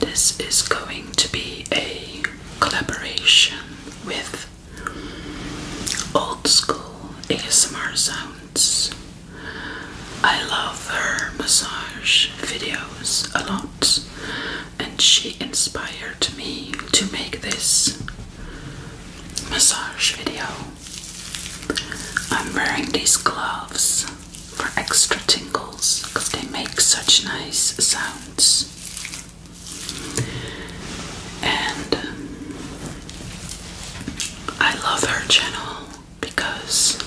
This is going to be a collaboration with Old School ASMR Sounds. I love her massage videos a lot, and she inspired me to make this massage video. I'm wearing these gloves for extra tingles because they make such nice sounds. And um, I love her channel because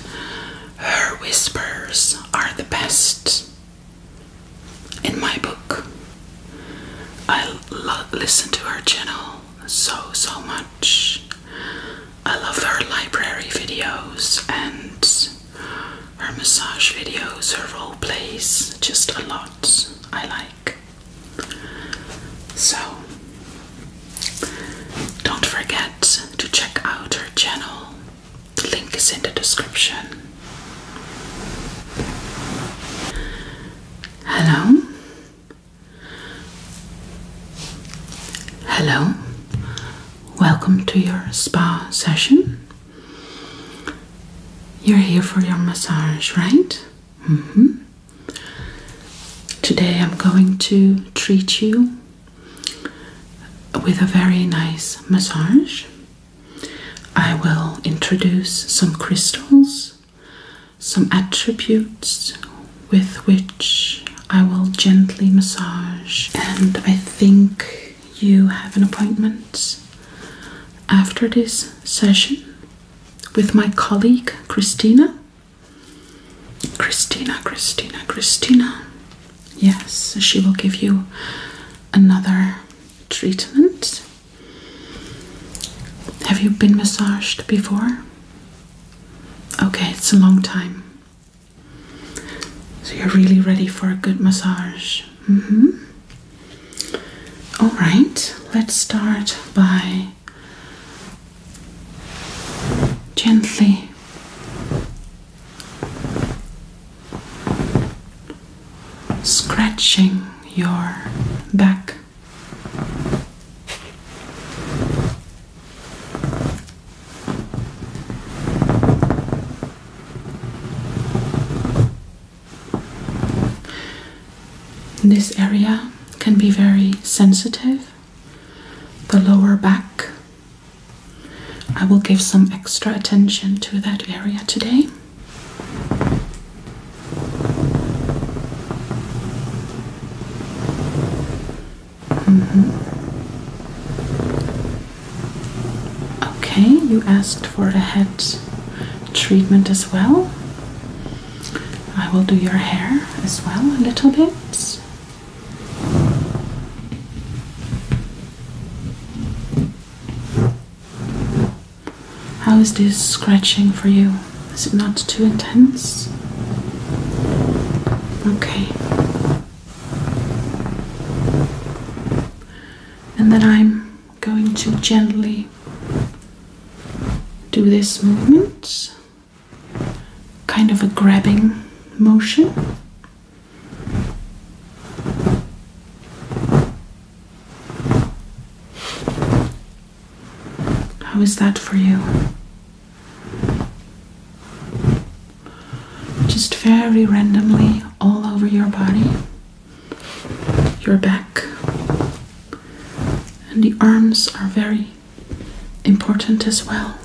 her whispers are the best in my book. I love listen to her channel so so much. I love her library videos and her massage videos, her role plays, just a lot I like. So, don't forget to check out her channel, the link is in the description. Hello? Hello? Welcome to your spa session. You're here for your massage, right? Mm-hmm. Today I'm going to treat you with a very nice massage. I will introduce some crystals, some attributes with which I will gently massage, and I think you have an appointment after this session with my colleague Christina. Christina, Christina, Christina. Yes, she will give you another treatment. Have you been massaged before? Okay, it's a long time. So you're really ready for a good massage. Mm-hmm. All right, let's start by gently scratching your back. This area can be very sensitive, the lower back. I will give some extra attention to that area today. Mm-hmm. Okay, you asked for a head treatment as well. I will do your hair as well a little bit. How is this scratching for you? Is it not too intense? Okay and then I'm going to gently do this movement, kind of a grabbing motion. How is that for you? Just very randomly all over your body, your back, and the arms are very important as well.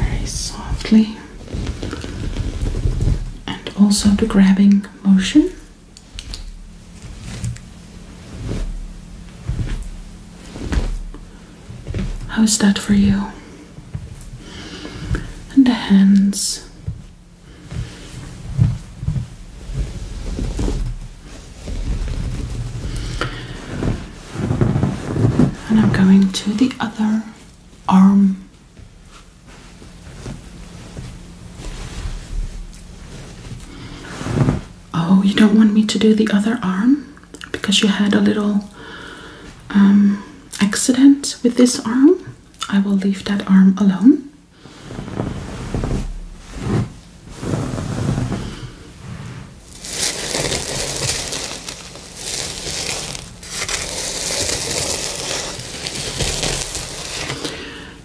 very softly, and also the grabbing motion. How is that for you? And the hands. And I'm going to the other arm. Oh, you don't want me to do the other arm because you had a little um, accident with this arm? I will leave that arm alone.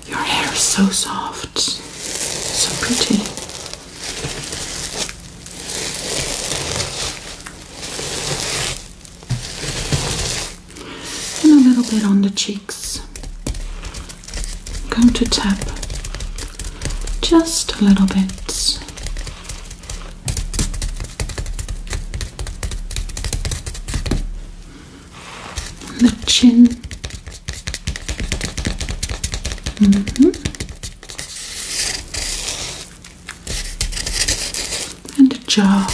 Your hair is so soft, so pretty. And a little bit on the cheeks. going to tap just a little bit the chin. Mm-hmm. And the jaw.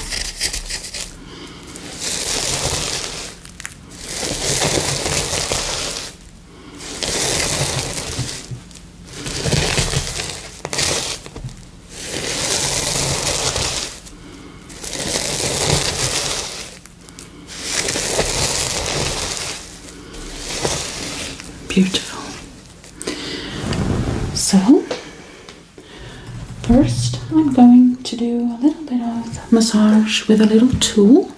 Beautiful. So, first I'm going to do a little bit of massage with a little tool.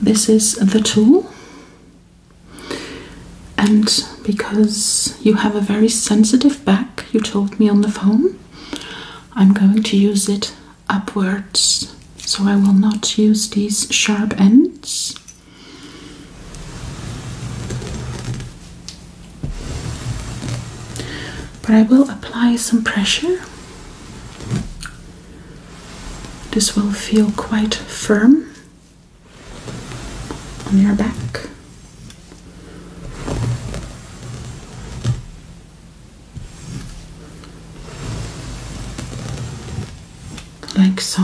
This is the tool. And because you have a very sensitive back, you told me on the phone. I'm going to use it upwards, so I will not use these sharp ends. But I will apply some pressure. This will feel quite firm on your back like so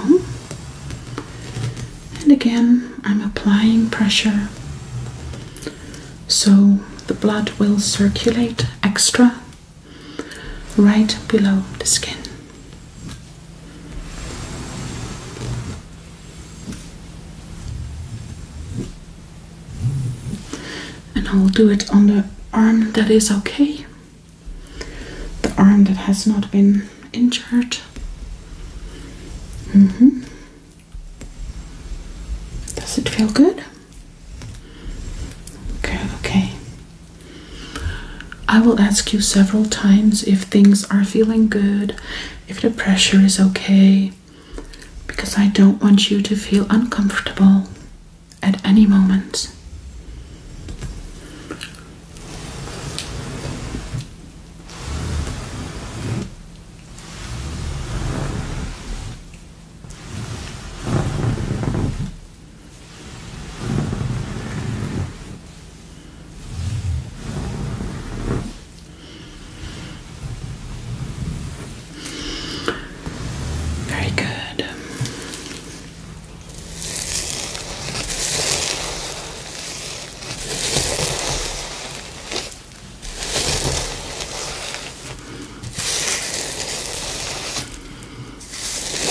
and again I'm applying pressure so the blood will circulate extra right below the skin and I will do it on the arm that is okay, the arm that has not been injured. Mm -hmm. Does it feel good? Okay, okay. I will ask you several times if things are feeling good if the pressure is okay because I don't want you to feel uncomfortable at any moment. Very good.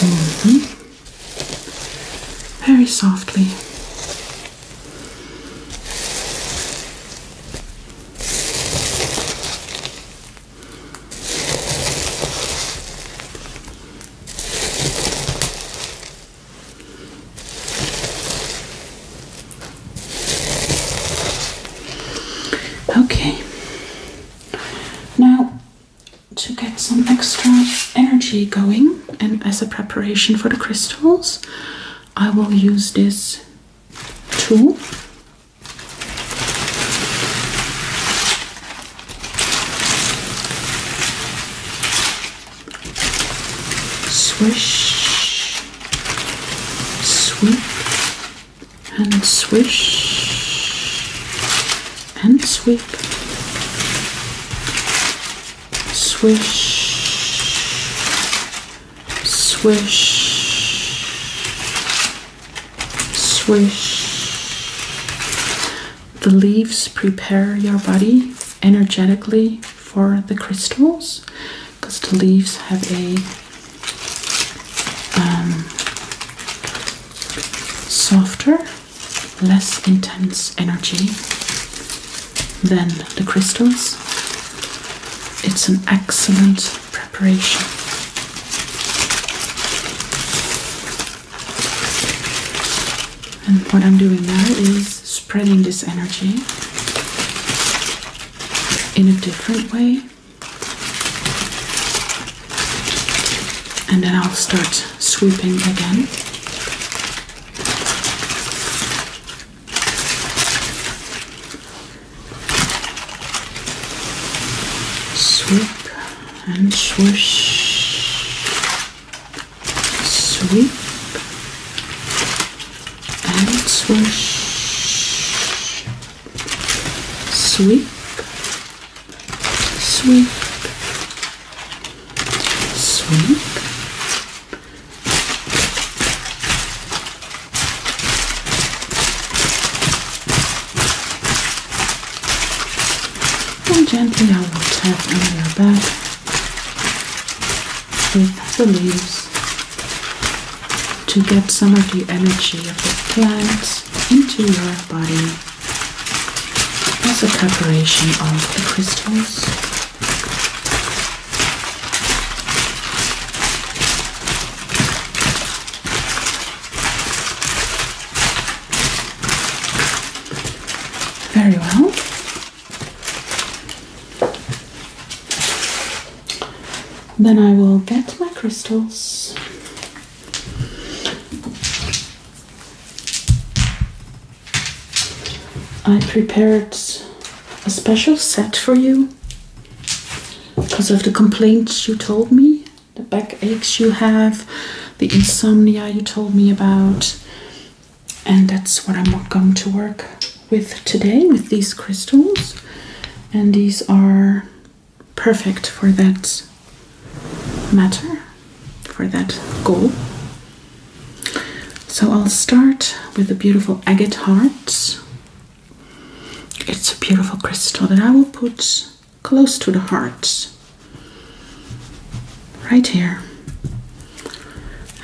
Mm-hmm. Very softly. Okay, now to get some extra energy going and as a preparation for the crystals, I will use this tool. Swish, sweep, and swish, and sweep swish, swish, swish. The leaves prepare your body energetically for the crystals because the leaves have a um, softer, less intense energy then the crystals. It's an excellent preparation. And what I'm doing now is spreading this energy in a different way. And then I'll start sweeping again. Sweep and swish. Sweep and swish. Sweep. Sweep. Sweep. And gently I will tap on your back with the leaves to get some of the energy of the plants into your body as a preparation of the crystals. Very well. Then I will get my crystals. I prepared a special set for you because of the complaints you told me, the backaches you have, the insomnia you told me about, and that's what I'm going to work with today with these crystals. And these are perfect for that matter, for that goal. So I'll start with the beautiful agate heart. It's a beautiful crystal that I will put close to the heart, right here.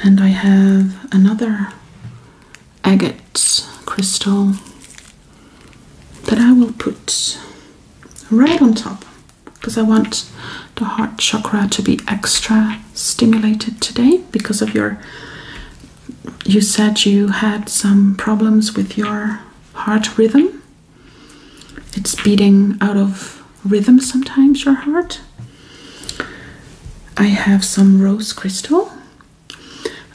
And I have another agate crystal that I will put right on top because I want the heart chakra to be extra stimulated today because of your you said you had some problems with your heart rhythm it's beating out of rhythm sometimes your heart i have some rose crystal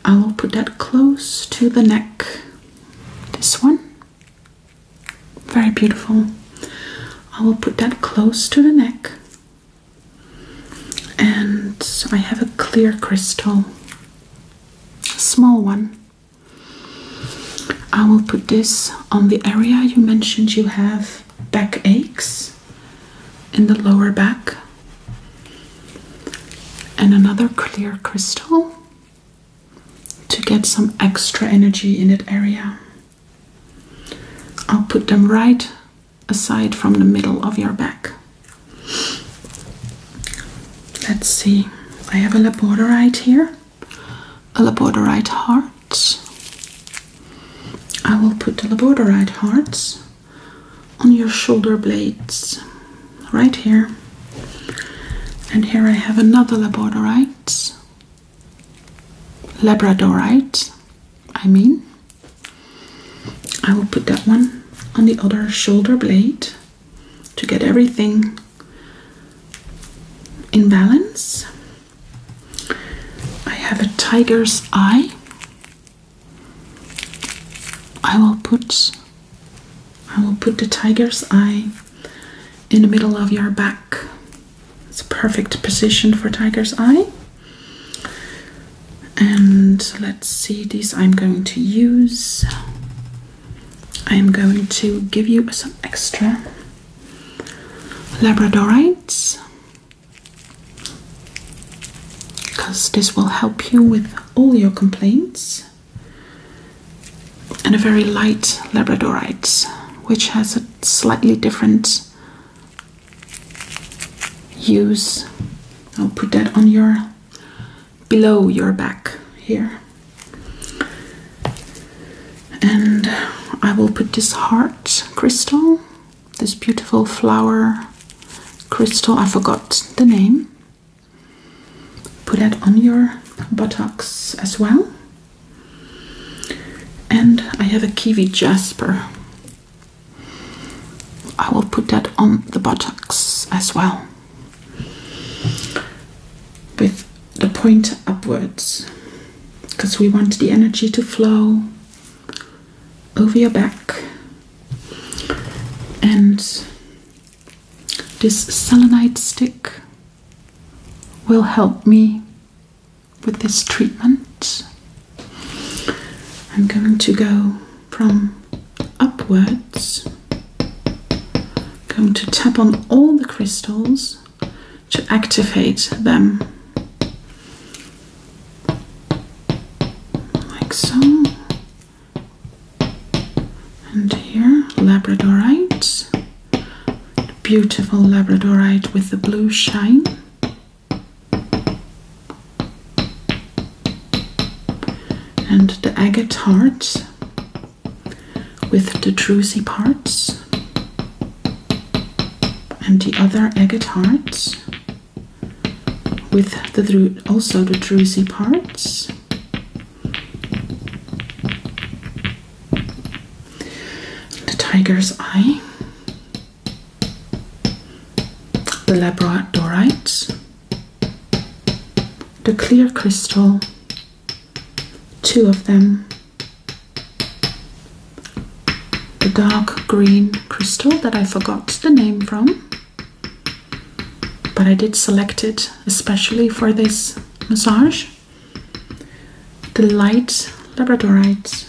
i will put that close to the neck this one very beautiful i will put that close to the neck and I have a clear crystal, a small one. I will put this on the area you mentioned you have back aches in the lower back. And another clear crystal to get some extra energy in that area. I'll put them right aside from the middle of your back. Let's see, I have a labradorite here, a labradorite heart. I will put the labradorite hearts on your shoulder blades right here. And here I have another labradorite. Labradorite, I mean. I will put that one on the other shoulder blade to get everything in balance. I have a tiger's eye. I will put I will put the tiger's eye in the middle of your back it's a perfect position for tiger's eye. And let's see, these I'm going to use. I'm going to give you some extra labradorites because this will help you with all your complaints. And a very light labradorite, which has a slightly different use. I'll put that on your below your back here. And I will put this heart crystal, this beautiful flower crystal, I forgot the name. Put that on your buttocks as well. And I have a kiwi jasper I will put that on the buttocks as well with the pointer upwards because we want the energy to flow over your back and this selenite stick will help me with this treatment. I'm going to go from upwards, going to tap on all the crystals to activate them. Like so. And here, labradorite. Beautiful labradorite with the blue shine and the agate heart with the druzy parts and the other agate heart with the also the druzy parts the tiger's eye the labradorite, the clear crystal, two of them, the dark green crystal that I forgot the name from, but I did select it especially for this massage, the light labradorite,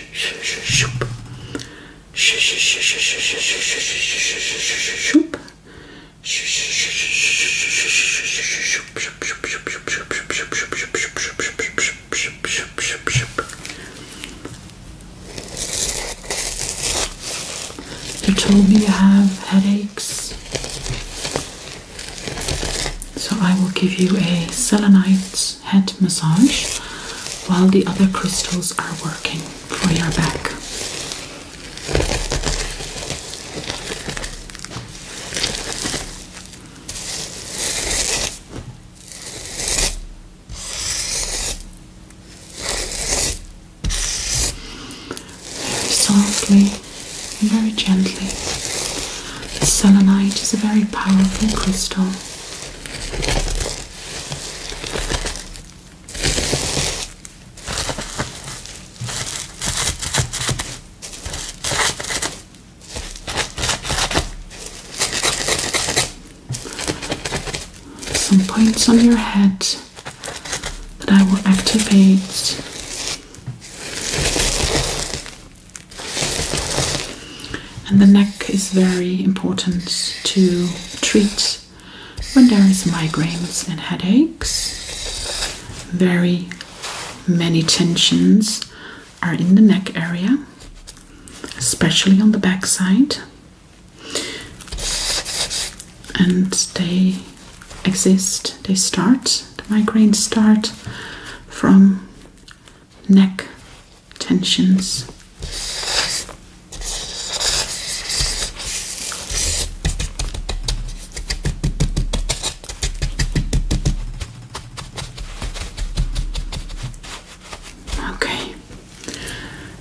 you told me you have headaches, so I will give you a selenite head massage while the other crystals are working for your back. Very softly very gently. The selenite is a very powerful crystal some points on your head that I will activate. And the neck is very important to treat when there is migraines and headaches. Very many tensions are in the neck area, especially on the back side. And they exist, they start, the migraines start from neck tensions. Okay,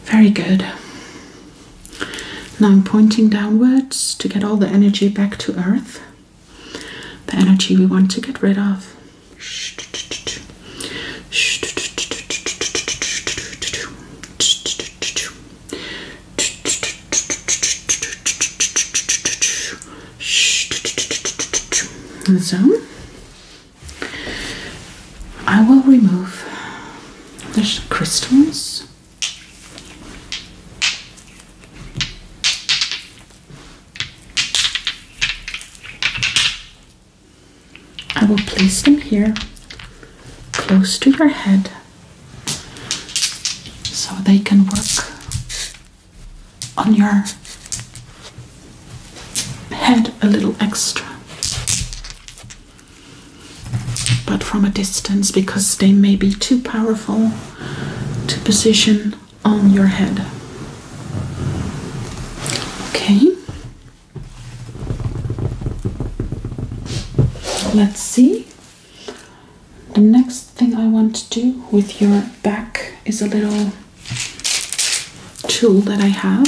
very good. Now I'm pointing downwards to get all the energy back to earth, the energy we want to get rid of. So I will remove the crystals. I will place them here close to your head so they can work on your head a little extra, but from a distance because they may be too powerful to position on your head. Okay. Let's see. The next thing I want to do with your back is a little tool that I have.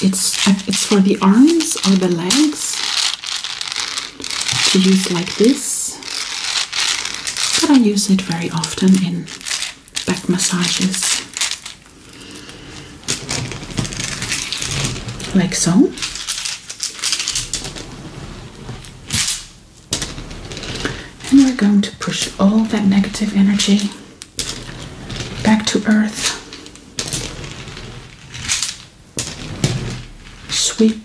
It's it's for the arms or the legs to use like this but I use it very often in back massages, like so. And we're going to push all that negative energy back to earth. Sweep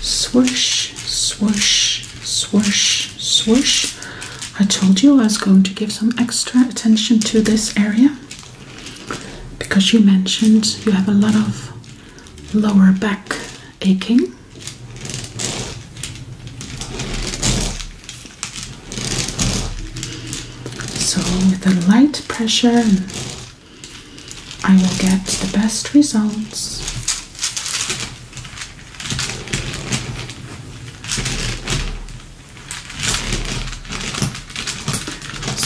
Swish, swish, swish, swish. I told you I was going to give some extra attention to this area because you mentioned you have a lot of lower back aching. So, with a light pressure I will get the best results.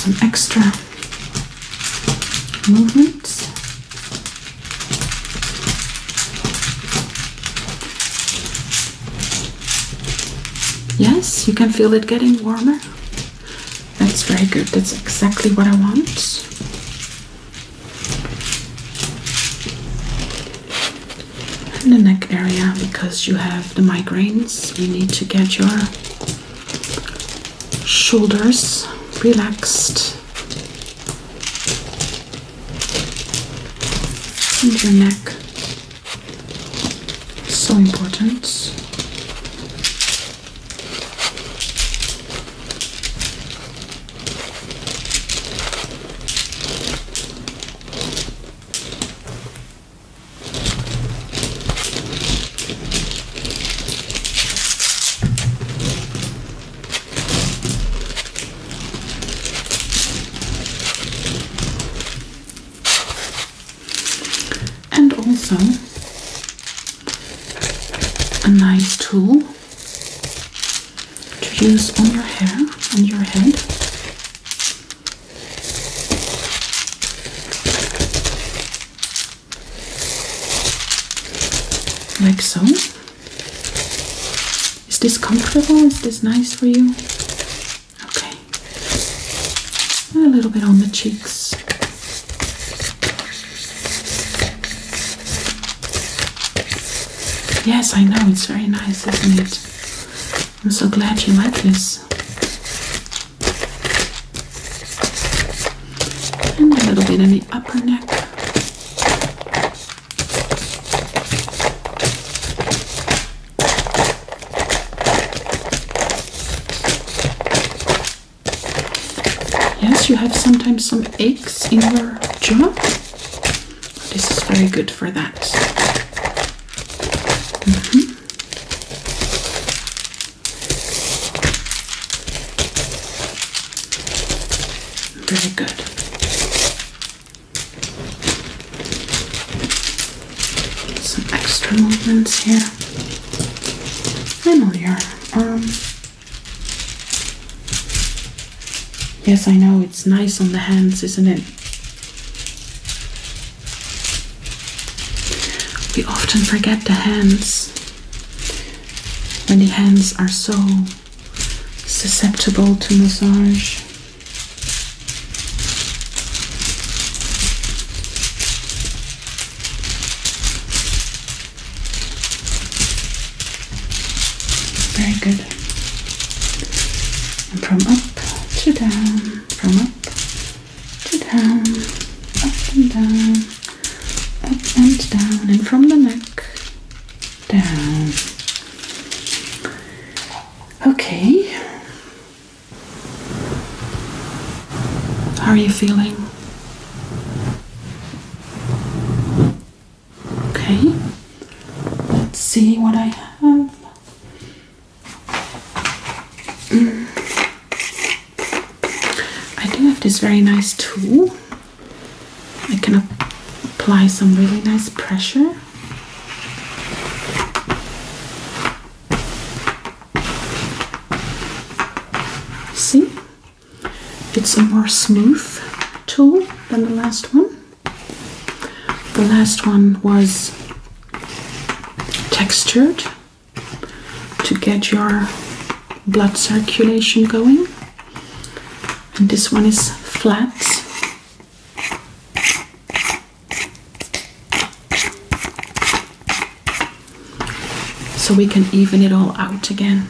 Some extra movements. Yes, you can feel it getting warmer. That's very good. That's exactly what I want. And the neck area, because you have the migraines, you need to get your shoulders relaxed and your neck. So important. And also, a nice tool to use on your hair, on your head. Like so. Is this comfortable? Is this nice for you? Okay. a little bit on the cheeks. Yes, I know, it's very nice, isn't it? I'm so glad you like this. And a little bit in the upper neck. Yes, you have sometimes some aches in your jaw. This is very good for that. Mm good. Some extra movements here. I know your arm. Yes, I know, it's nice on the hands, isn't it? We often forget the hands when the hands are so susceptible to massage. Very good. from up to down, from up to down, up and down, up and down, and from the neck down. Okay. How are you feeling? Okay, let's see what I have. Mm. I do have this very nice tool. I can apply some really nice pressure. See? It's a more smooth tool than the last one. The last one was textured to get your blood circulation going, and this one is flat so we can even it all out again.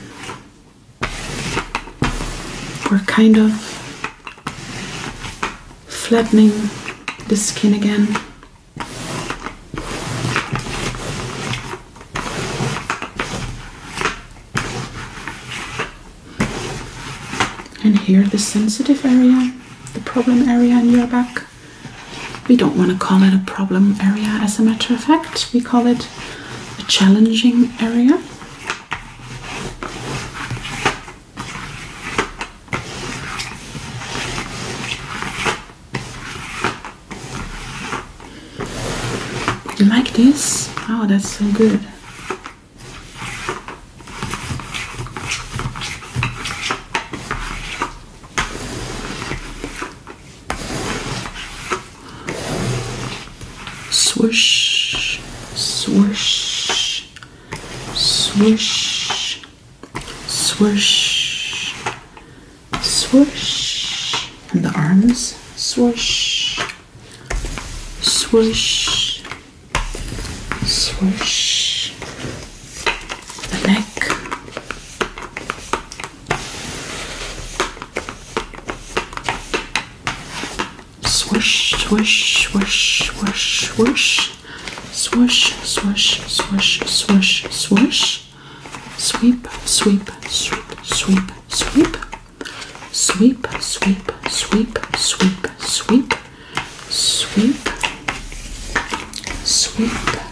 We're kind of flattening the skin again. And here the sensitive area, the problem area in your back. We don't want to call it a problem area as a matter of fact. We call it a challenging area. You like this? Oh, that's so good. Swish, swish, swish, swish, swish, and the arms, swish, swish, swish, the neck, Swish, swish, swish, swish, swish. Swish, swish, swish, swish, swish. Sweep, sweep, sweep, sweep, sweep. Sweep, sweep, sweep, sweep, sweep. Sweep. Sweep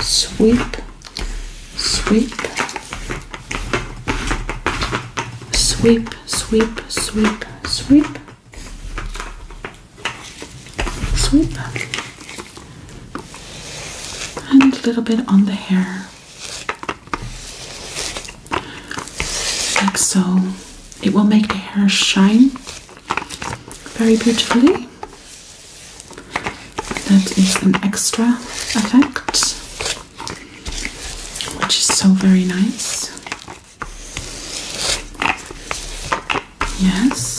sweep, sweep, sweep, sweep, sweep, sweep, sweep, and a little bit on the hair, like so. It will make the hair shine very beautifully. That is an extra effect, which is so very nice. Yes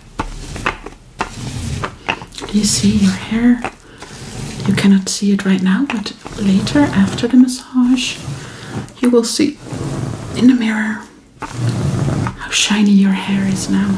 Do you see your hair? You cannot see it right now, but later after the massage, you will see in the mirror how shiny your hair is now.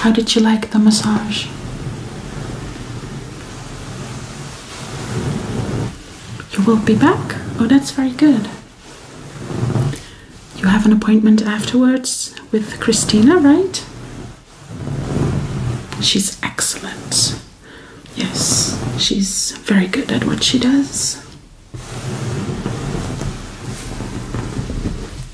how did you like the massage? You will be back? Oh, that's very good. You have an appointment afterwards with Christina, right? She's excellent. Yes, she's very good at what she does.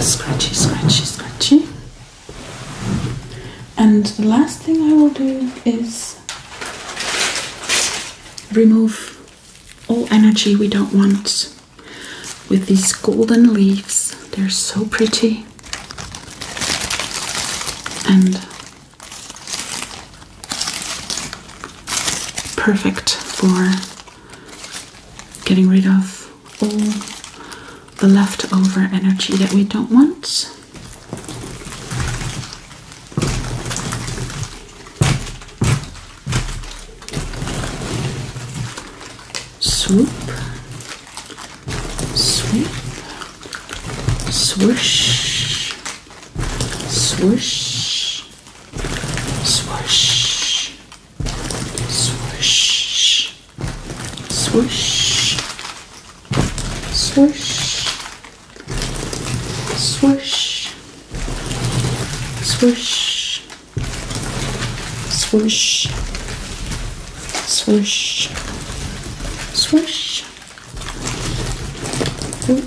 scratchy, scratchy, scratchy. And the last thing I will do is remove all energy we don't want with these golden leaves. They're so pretty. And perfect for getting rid of all the leftover energy that we don't want. Swoop, sweep, swoosh, swoosh, swoosh, Swoosh. Swoosh. Swoosh. Swoosh. Swoosh. Swoosh. Swoosh. Swoosh. Ooh.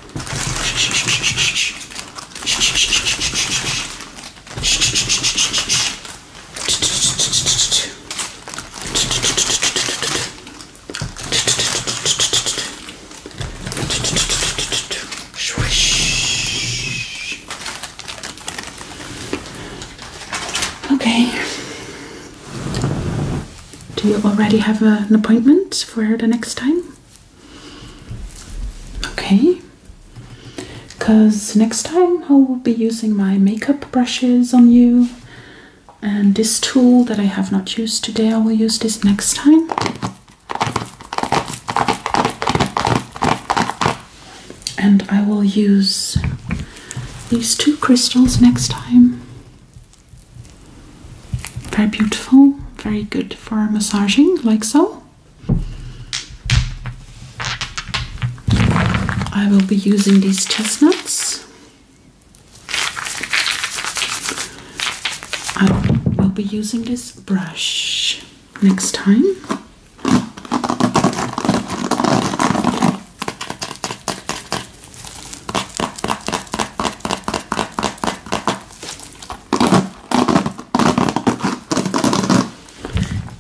Okay. Do you already have an appointment for the next time? Okay, because next time I will be using my makeup brushes on you, and this tool that I have not used today, I will use this next time. And I will use these two crystals next time. Very beautiful, very good for massaging, like so. I will be using these chestnuts. I will be using this brush next time.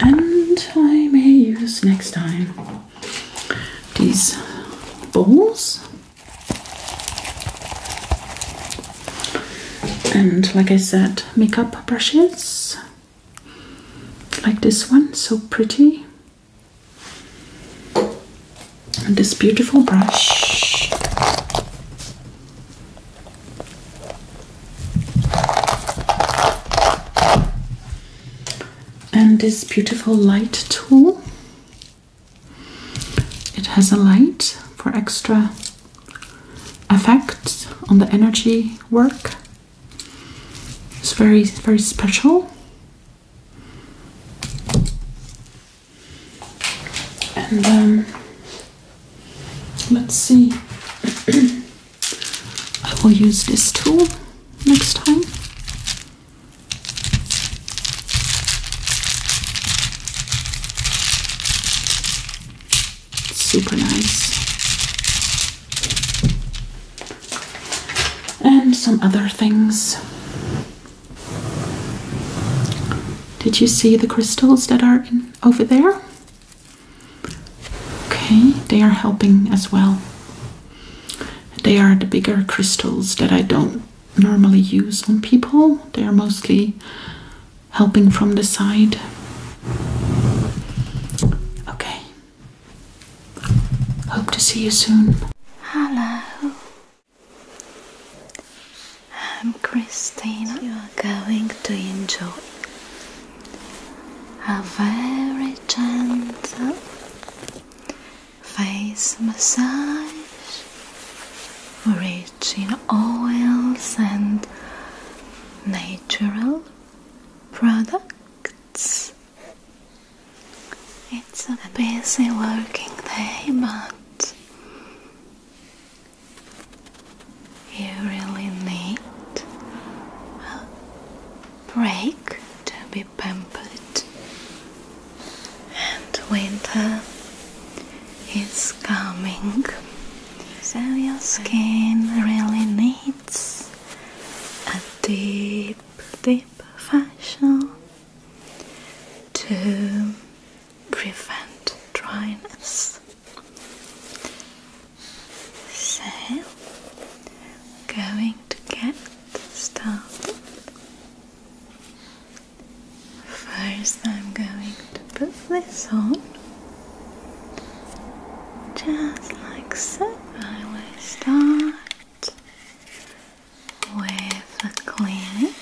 And I may use next time these bowls And like I said, makeup brushes like this one, so pretty. And this beautiful brush and this beautiful light tool it has a light for extra effects on the energy work it's very very special and um, Let's see. I will use this tool next time. Super nice. And some other things. Did you see the crystals that are in over there. Okay, they are helping as well. They are the bigger crystals that I don't normally use on people, they are mostly helping from the side. Okay, hope to see you soon. Hello. I'm Christina. You are going to enjoy a very gentle face massage rich in oils and natural products. It's a busy working day, but you really need a break to be pampered, and winter is coming, so your skin really needs a deep, deep facial to prevent dryness. So, going to get started. First, I'm going to put this on just like so. I will start with a clinic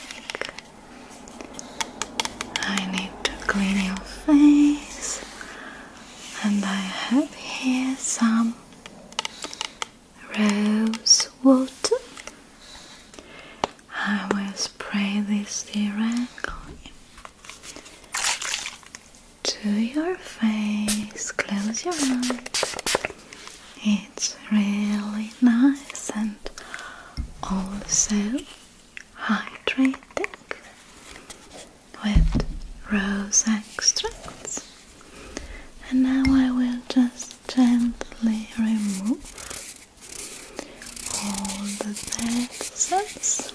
I need to clean your face, and I have here some rose water. I will spray this directly to your face. Close your eyes. It's really nice and also hydrating with rose extracts. And now I will just gently remove all the dead cells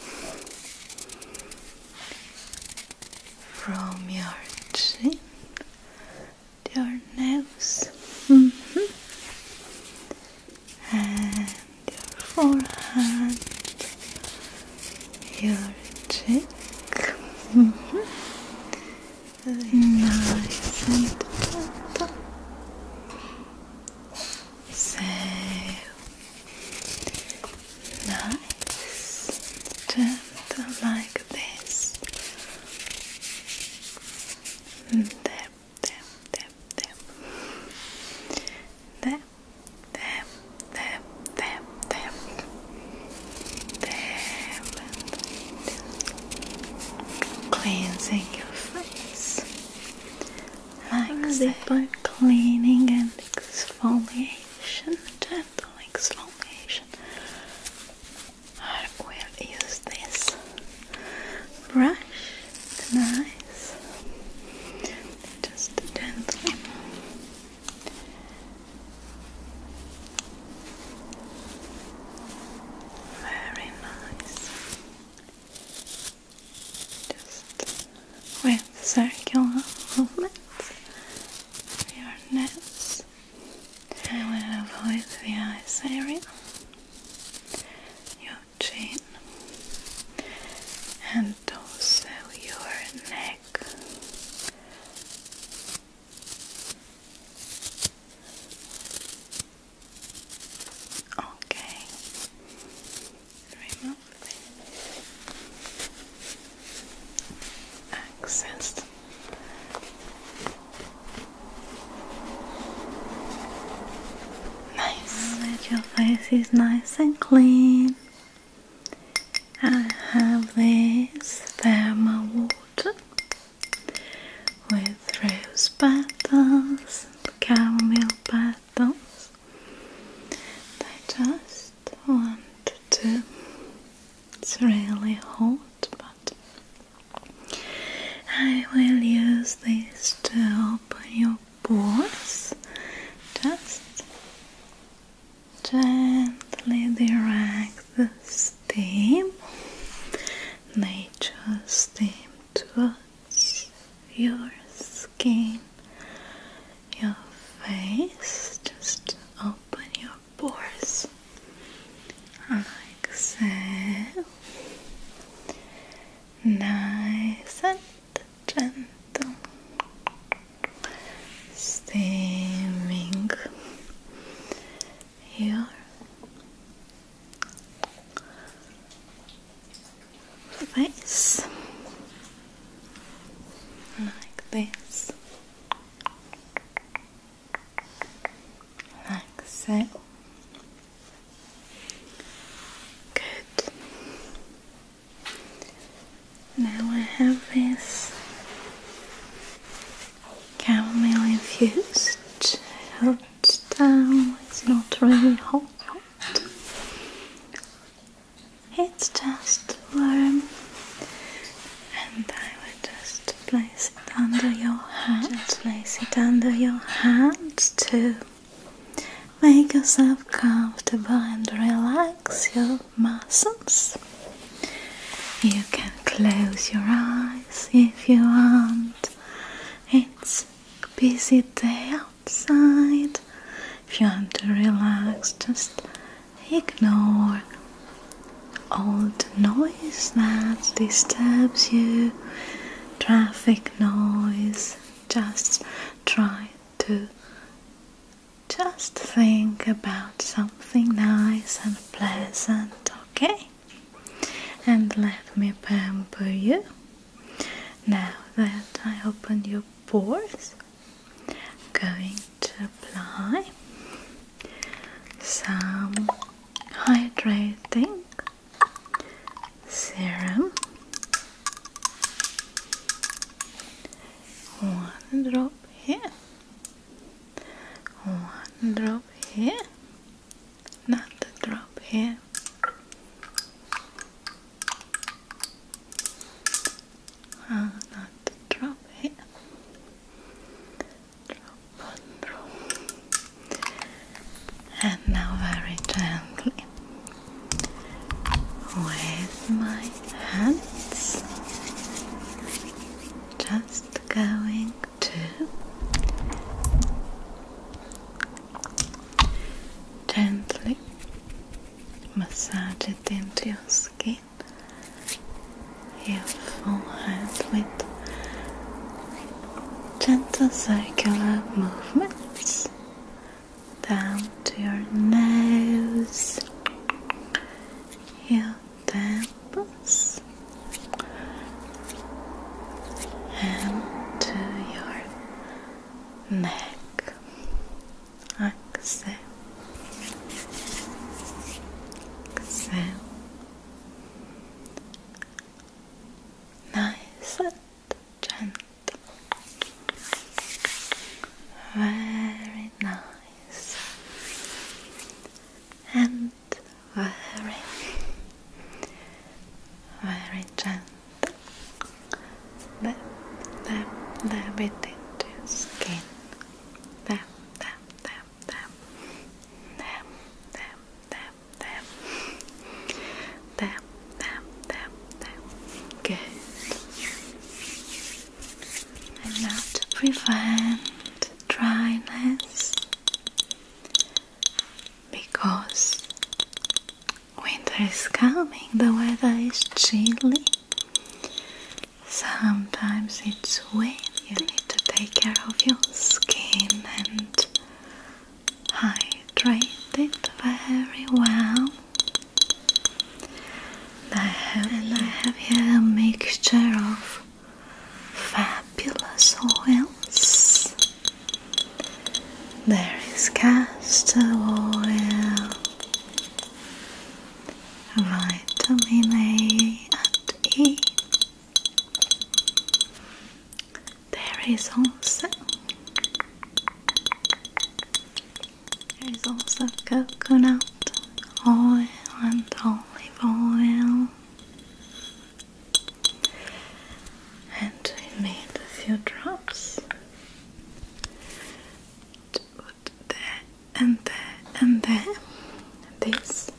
from your chin, your nose, mm-hmm and your forehead, your cheek. Mm Nice and gentle. So nice, gentle like this. There them, them, them, them, them, them, them, them, them, cleansing your face like that cleaning and exfoliation, gentle exfoliation. I will use this brush. It's nice. Just gently. Very nice. Just with circular movements your nose. I avoid the eyes area. You chin and also your neck. Okay, remove the access. Nice, that your face is nice and clean. I have this thermal water with rose petals and caramel petals. I just want to. It's really hot, but I will use this to open your pores just gently direct the steam nature steam towards your skin your face just open your pores like nice and gentle, steaming your face like this, like so. Good. Now I have this chamomile infused hot down. It's not really hot, It's just warm, and I will just place it under your hands. Just place it under your hands too. Make yourself comfortable and relax your muscles. You can close your eyes if you want. It's a busy day outside. If you want to relax, just ignore all the noise that disturbs you traffic noise, just try to just think about something nice and pleasant, okay? And let me pamper you. Now that I open your pores, I'm going to apply some hydrating serum, one drop here, one drop here, another drop here. Uh, not drop here. Drop, drop and now very gently with my hands just going to gently massage it into your skin your forehead with gentle circular movements down to your nose, your temples, and to your neck. Exhale, exhale. Nice and gentle. Very nice and very, very gentle. Tap, tap, tap it into skin. Tap, tap, tap, tap. Tap, tap, them, them, them, them, them, them. now to prevent dryness, because winter is coming, the weather is chilly. Sometimes it's windy. You need to take care of your skin and hydrated very well. I have, and I have a mixture of fabulous oils. There is castor oil, vitamin A and E, there is also there is also coconut oil and olive oil. And I made a few drops to there and there and there. This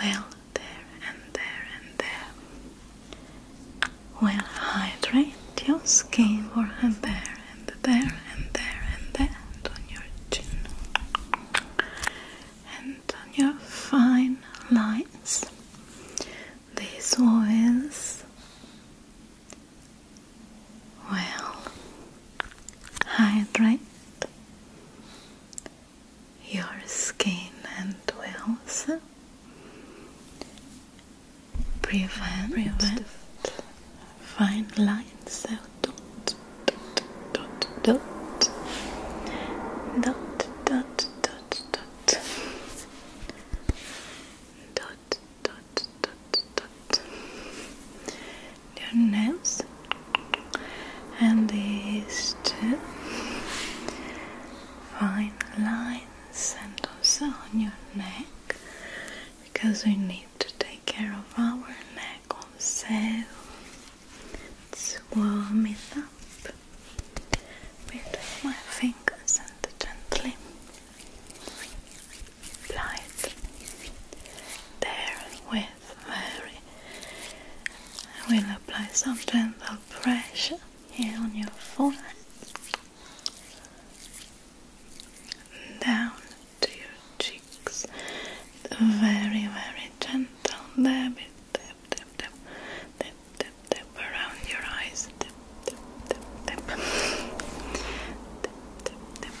will there, and there, and there will hydrate your skin for and there, and there, and there, and there, and on your chin, and on your fine lines. These oils will hydrate your skin and wells prevent, prevent fine lines so dot dot dot dot dot dot dot dot dot dot dot your nails and these two fine lines hands and also on your neck because we need to take care of our neck also. Let's warm it up with my fingers and gently apply there with very I will apply some gentle pressure here on your forehead, down to your cheeks, very, very gentle dab it, dab, dab, dab, dab, dab, around your eyes, dab, dab, dab, dab, dab, dab,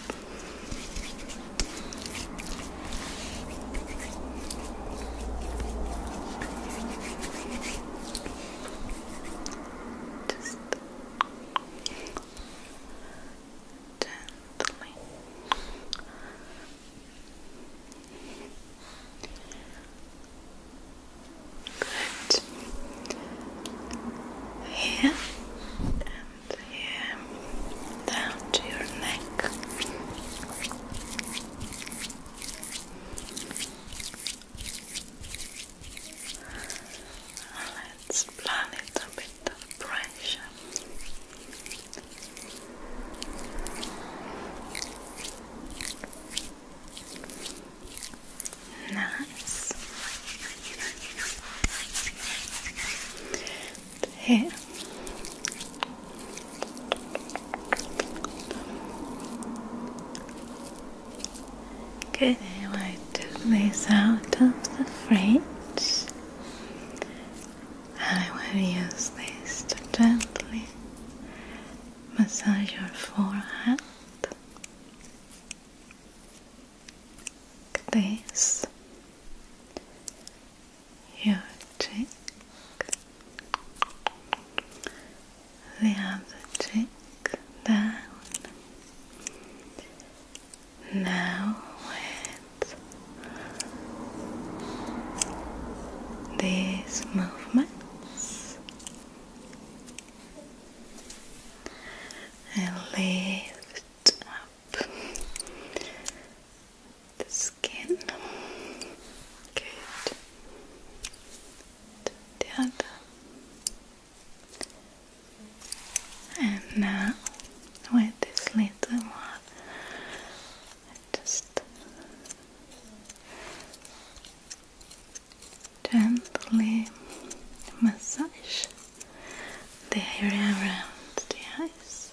just gently. Good. Here and here, down to your neck. Let's apply a bit of pressure. Nice. here. Okay, now I took this out of the fridge. I will use this to gently massage your forehead. Like this. Your cheek. We have cheek down. Now with these movements, and lift up the skin. Good the other. And now, with this little one, I just gently massage the area around the eyes.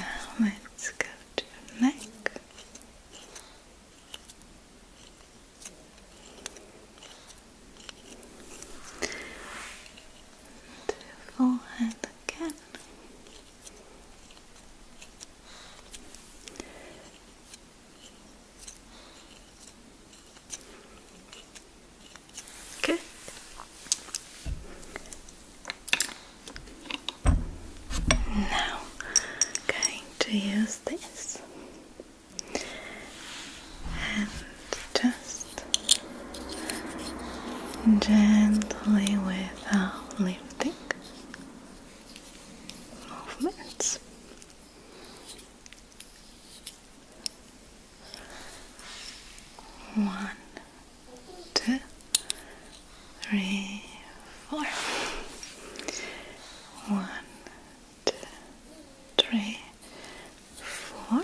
Good. Nice. Now let's go to your neck to the again. Good. Now, going to use this and just gently without lifting movements. One, two, three, four. One, one, two, three, four.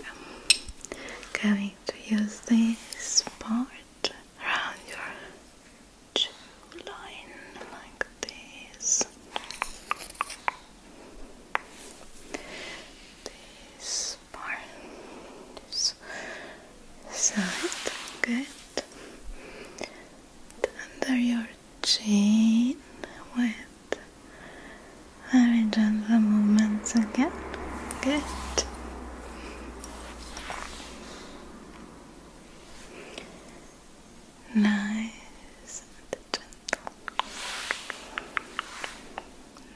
Going to use this part around your chew line like this. This part, this good. Under your chin with very gentle movements again. Good. Nice and gentle.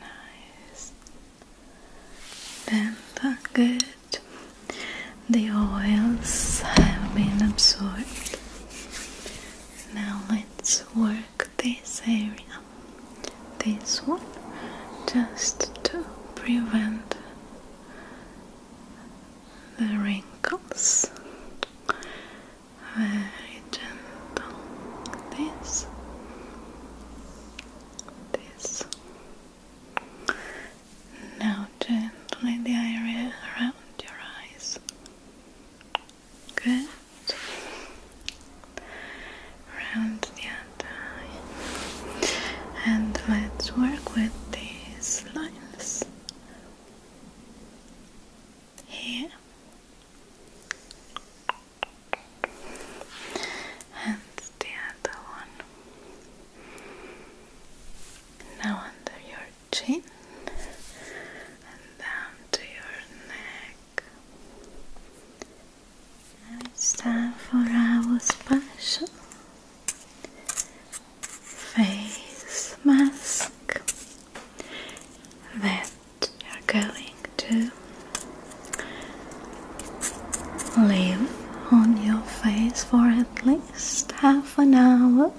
Nice. Bend good. The oils have been absorbed. Now let's work this area, this one, just to prevent the wrinkles. Very gentle. This, this, now gently the area around your eyes. Good. Around the other eye. And let's work with these lines. Here. And the other one. Now under your chin and down to your neck. Now it's time for our special face mask that you're going to leave on your face for at least half an hour.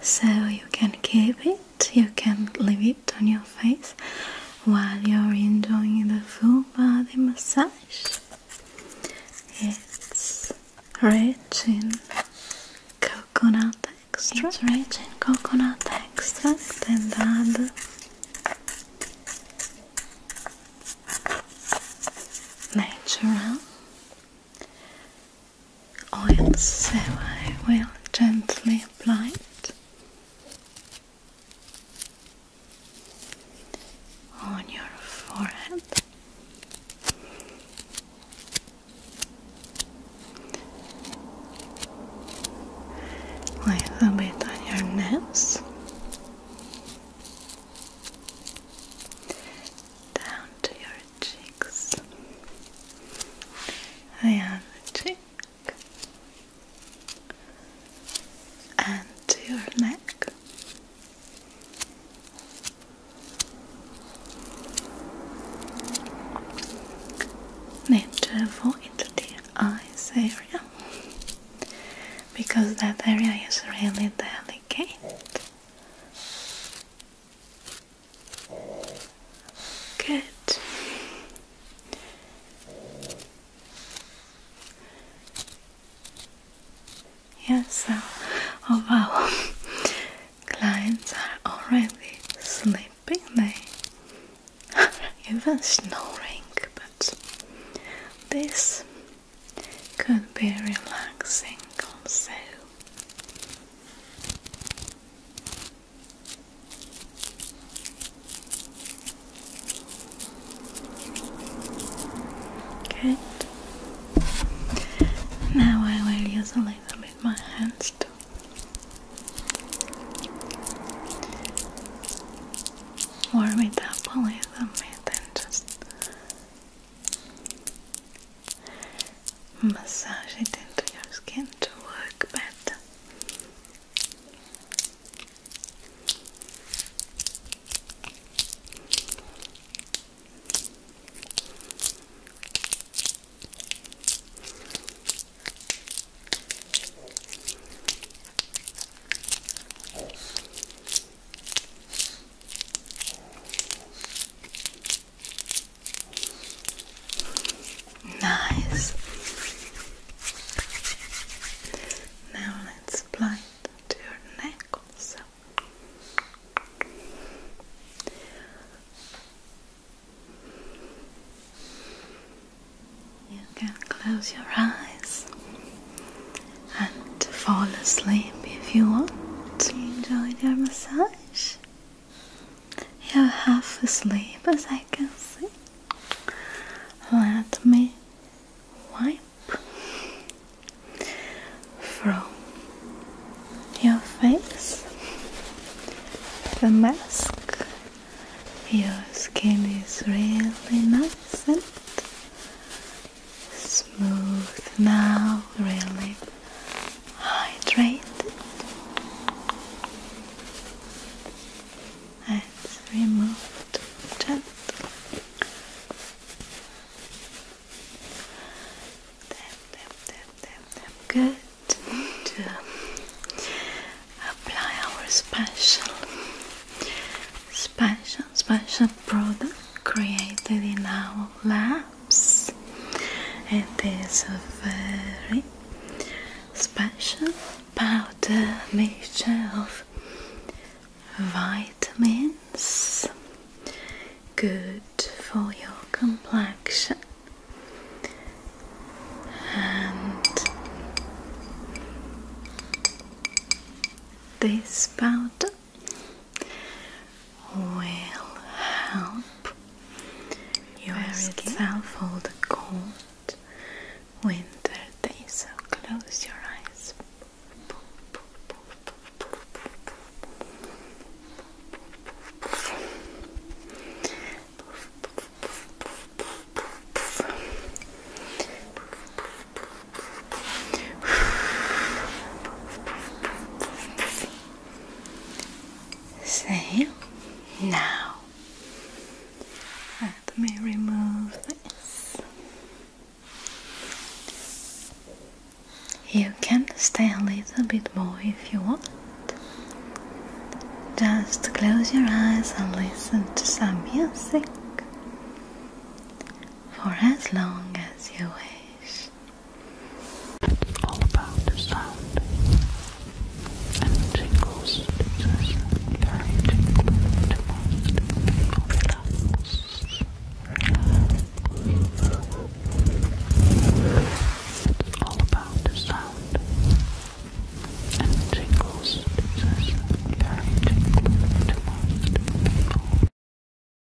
So you can keep it, you can leave it on your face while you're enjoying the full body massage. It's rich in coconut extract. It's rich in coconut extract and other natural oil, so I will gently apply it on your forehead. A little bit on your nose, down to your cheeks. I have a cheek and to your neck. Need to avoid the eyes area because that area is really delicate. Good. Yes, oh wow, clients are already sleeping, they even snoring, but this could be relaxing also. Good. Now I will use a little bit my hands too. Warm it up a little bit and just Massage it into your skin to work better. Nice. Now let's apply it to your neck also. You can close your eyes and to fall asleep if you want to enjoy your massage. You're half asleep as I can see. Let me wipe from your face the mask. Your skin is really nice and Smooth now, really hydrated. It's remove gently. Good. To apply our special, special, special product created in our lab cups. It is a very special powder mixture of vitamins, good for your complexion. And this powder will help your Very skin cold winter day. So close your eyes. Same. Now, let me remove this. You can stay a little bit more if you want. Just close your eyes and listen to some music for as long as you wish all about the sound and tingles. It's very tingling to most people. It's all about the sound and tingles. It's very tingling to most people.